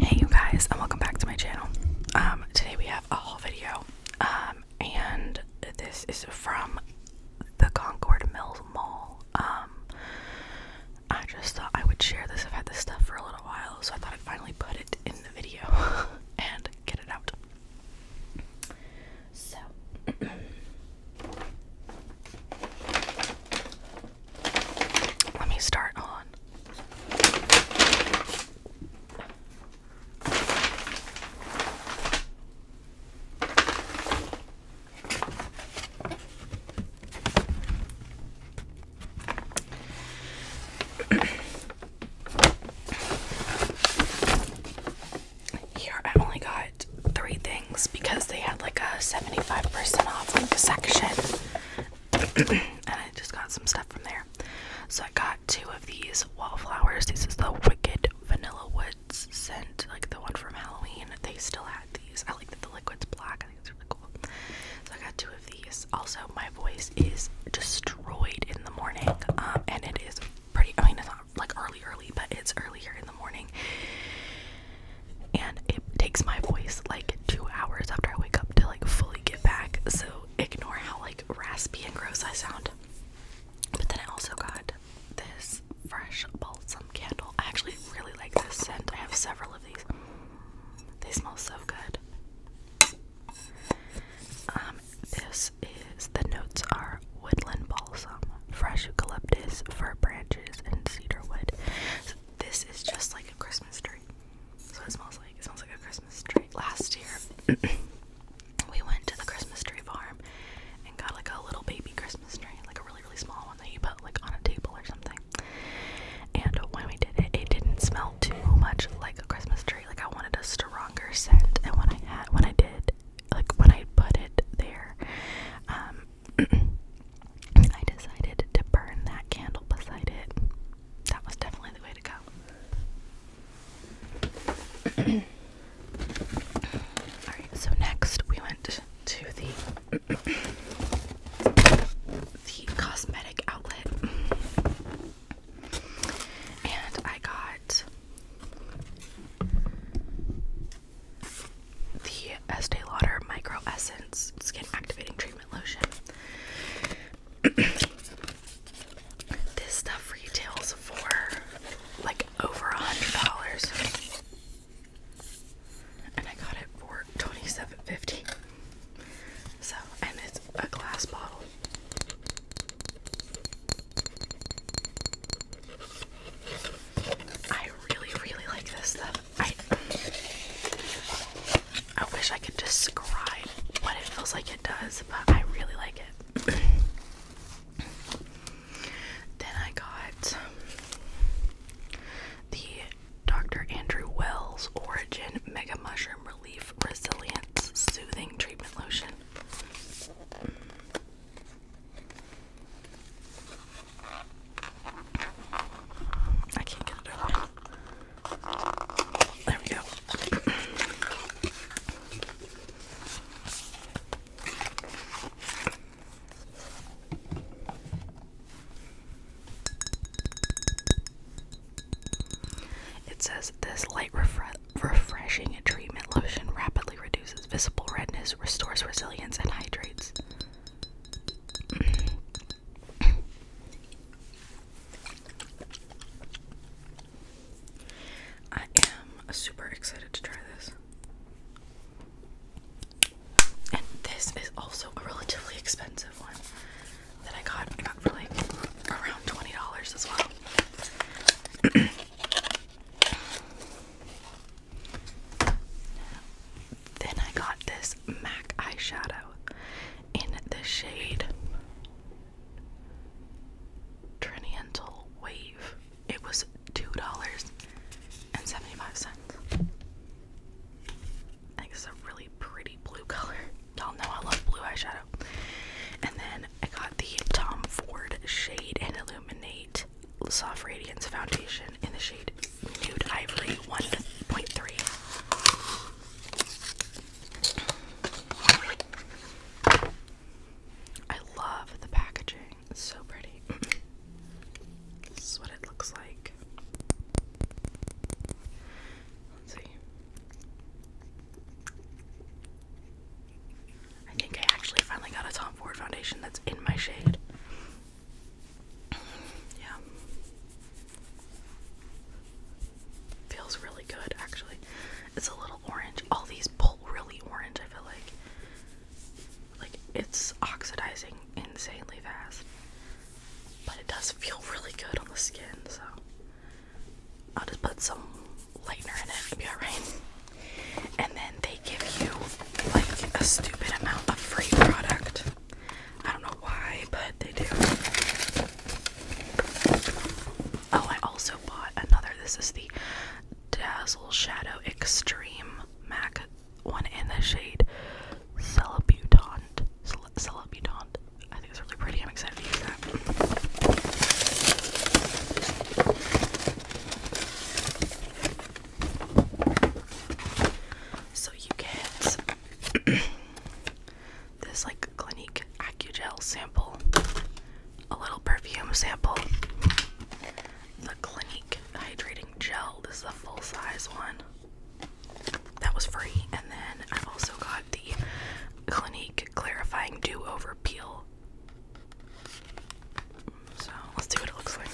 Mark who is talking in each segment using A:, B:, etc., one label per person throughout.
A: Hey you guys and welcome back to my channel. Um today we have a haul video. Um and this is from the Concord Mills Mall. Um I just thought I would share this. I've had this stuff for a little while, so I thought I'd finally put it in the video and get it out. So Let me start on. Here, I got three things because they had like a 75% off section and I just got some stuff from there. So I got two of these wallflowers. This is the Wicked Vanilla Woods scent, like the one from Halloween. They still had these. I like that the liquid's black. I think it's really cool. So I got two of these. Also, my voice is destroyed in the morning, um, and it is pretty. I mean, it's not like early, early, but it's earlier in the morning and it takes my voice like two hours after I wake up to like fully get back. So ignore how like raspy and gross I sound. But then I also got this fresh balsam candle. I actually really like this scent. I have several of these. They smell so good. Um, this is the notes are woodland balsam, fresh eucalyptus, fir branches, and cedarwood this is just like a Christmas tree. So it smells like it smells like a Christmas tree. Last year we went to the Christmas tree farm and got like a little baby Christmas tree, like a really really small one that you put like on a table or something. And when we did it, it didn't smell too much like a Christmas tree. Like I wanted a stronger scent, and when I had when I did, like when I put it there, um, I decided to burn that candle beside it. That was definitely the way to go. Alright, so next we went to the the cosmetic outlet and I got the Estee Lauder Micro Essence Skin Activating Treatment Lotion. this stuff retails for like over a hundred dollars, and I got it for twenty-seven fifty. So, and it's a glass bottle. I really, really like this stuff. I wish I could describe what it feels like it does, but I really like it. then I got the Dr. Andrew Wells Origin Mega Mushroom Relief Resilience Soothing Treatment Lotion. I can't get it out. There we go. It says this light refre refreshing treatment lotion rapidly reduces visible redness, restores resilience, and hydrates. I am super excited to try this. And this is also a relatively expensive one that I got. for like around $20 as well. Then I got this MAC eyeshadow in the shade Triniental Wave. It was $2.75. I think it's a really pretty blue color. Y'all know I love blue eyeshadow. And then I got the Tom Ford Shade and Illuminate Soft Radiance Foundation in the shade Nude Ivory 1.3. I love the packaging. It's so pretty. this is what it looks like. Let's see. I think I actually finally got a Tom Ford foundation that's in my shade. Yeah. Feels really good actually. It's a little orange. All these pull really orange, I feel like. Like it's oxidizing insanely fast. But it does feel really good on the skin, so I'll just put some lightener in it, it'll And then they give you like a stupid amount of free product. I don't know why, but they do. Oh, I also bought another. This is the Dazzle Shadow Extreme MAC one in the shade Celebutant. Cel Celebutant. I think it's really pretty. I'm excited to use that. So you get this like Clinique Accugel sample, a little perfume sample, the Clinique hydrating gel. This is a full size one. That was free, and then I also got the Clinique clarifying do over peel. So let's see what it looks like.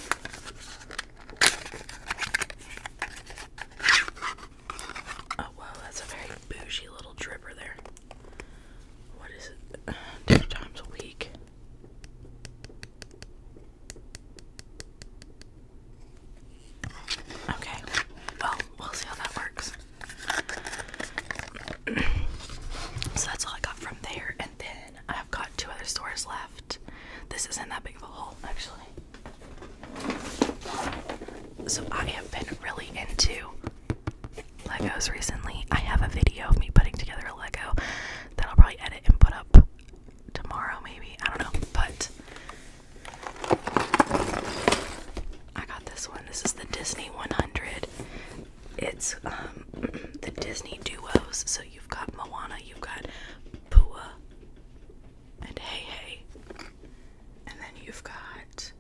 A: Oh wow, that's a very bougie little dripper there. What is it? Two times a week. Okay. Well, we'll see how that works. so that's all I got from there, and then I got two other stores left. This isn't that big of a hole, actually. So I have been really into Legos recently. I have a video of me putting together a Lego that I'll probably edit and put up tomorrow, maybe. I don't know, but I got this one. This is the Disney 100. It's um, the Disney duos. So you've got Moana, you've got Pua, and Hey Hey. And then you've got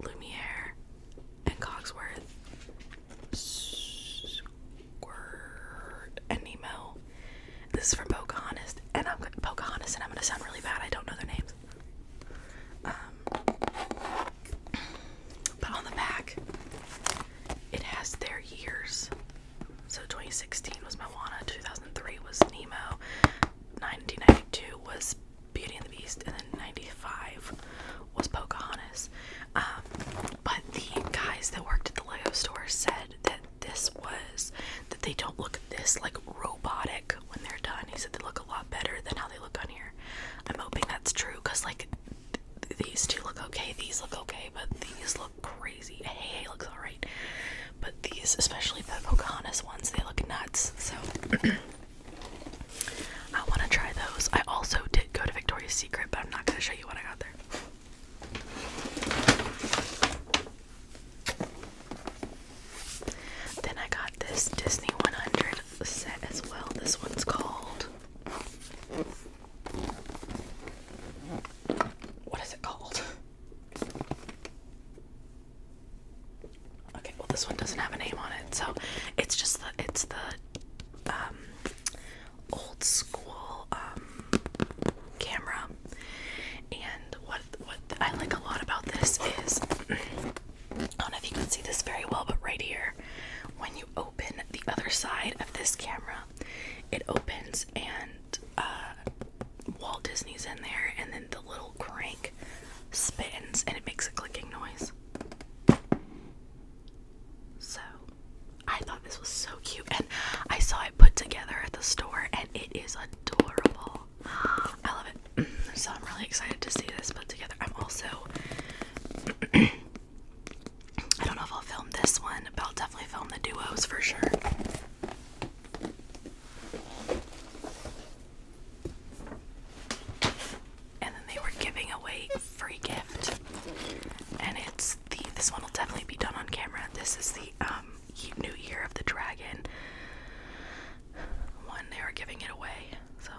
A: Lumiere and Cogsworth, Squirt and Nemo. This is from Pocahontas, and I'm Pocahontas, and I'm gonna sound really bad. I don't know their names. Um, but on the back, it has their years. So 2016 was Moana, 2003 was Nemo, 1992 was Beauty and the Beast, and then 95 was Pocahontas. Um, but the guys that worked at the Lego store said that this was that they don't look this like robotic when they're done. He said they look a lot better than how they look on here. I'm hoping that's true because like these two look okay. These look okay, but these look crazy. Hey, hey looks alright, but these, especially the Pocahontas ones, they look nuts. So I want to try those. I also did go to Victoria's Secret, but I'm not going to show you what I got there. Then I got this Disney 100 set as well. This one's called what is it called? Okay, well this one doesn't have a name on it, so it's just the it's the um, old school um, camera. And what what I like a lot about this is I don't know if you can see this very well, but right here, when you open the other side of this camera, it opens and uh, Walt Disney's in there, and then the little crank spins and it makes a clicking noise. So, I thought this was so cute, and I saw it put together at the store, and it is adorable. I love it. So, I'm really excited to see this put together. I'm also I don't know if I'll film this one, but I'll definitely film the duos for sure. And then they were giving away free gift. And it's the this one will definitely be done on camera. This is the um New Year of the Dragon one. They were giving it away. So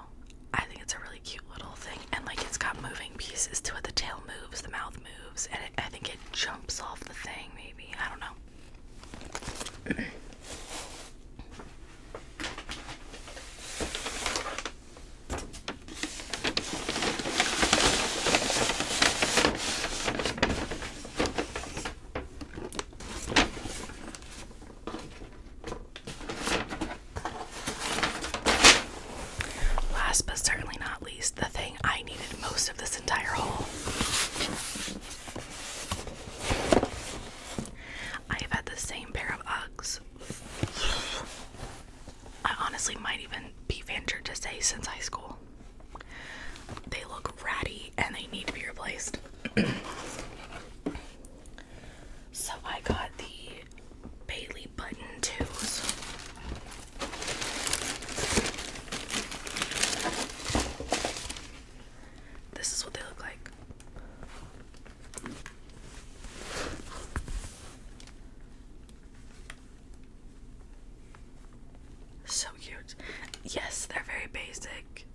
A: I think it's a really cute little thing, and like it's got moving pieces to it. The tail moves, the mouth moves, and I think it jumps off the thing. Maybe I don't know. Last but certainly not least, the thing I needed most of this entire haul. I've had the same pair of Uggs. I honestly might even be ventured to say since high school. They look ratty and they need to be replaced. So I got the Bailey button too. This is what they look like. So cute. Yes, they're very basic.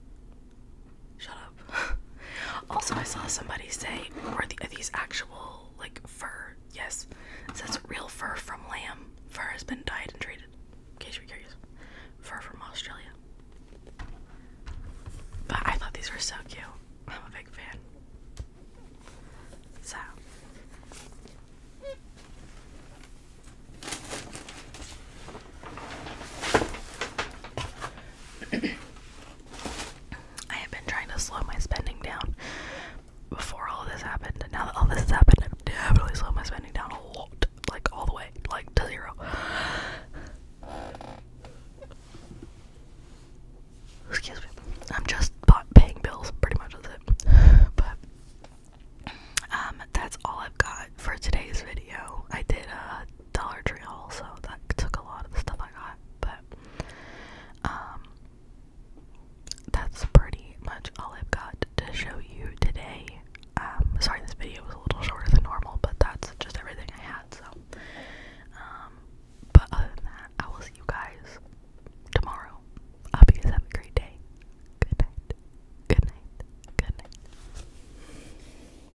A: Shut up. also, I saw somebody say, "Are these actual like fur?" Yes, it says real fur from lamb. Fur has been dyed and treated. In case you're curious, fur from Australia. But I thought these were so cute. I'm a big fan. So. I have been trying to slow my spending down before all this happened. Now that all this has happened, I've definitely slowed my spending down a lot. Like, all the way. Like, to zero. Excuse me. I'm just paying bills, pretty much that's it. But, um, that's all I've got for today's video. I did, a. Uh, Dollar Tree also. That took a lot of the stuff I got, but um that's pretty much all I've got to show you today. Um, sorry this video was a little shorter than normal, but that's just everything I had, so um but other than that, I will see you guys tomorrow. I hope you guys have a great day. Good night. Good night. Good night.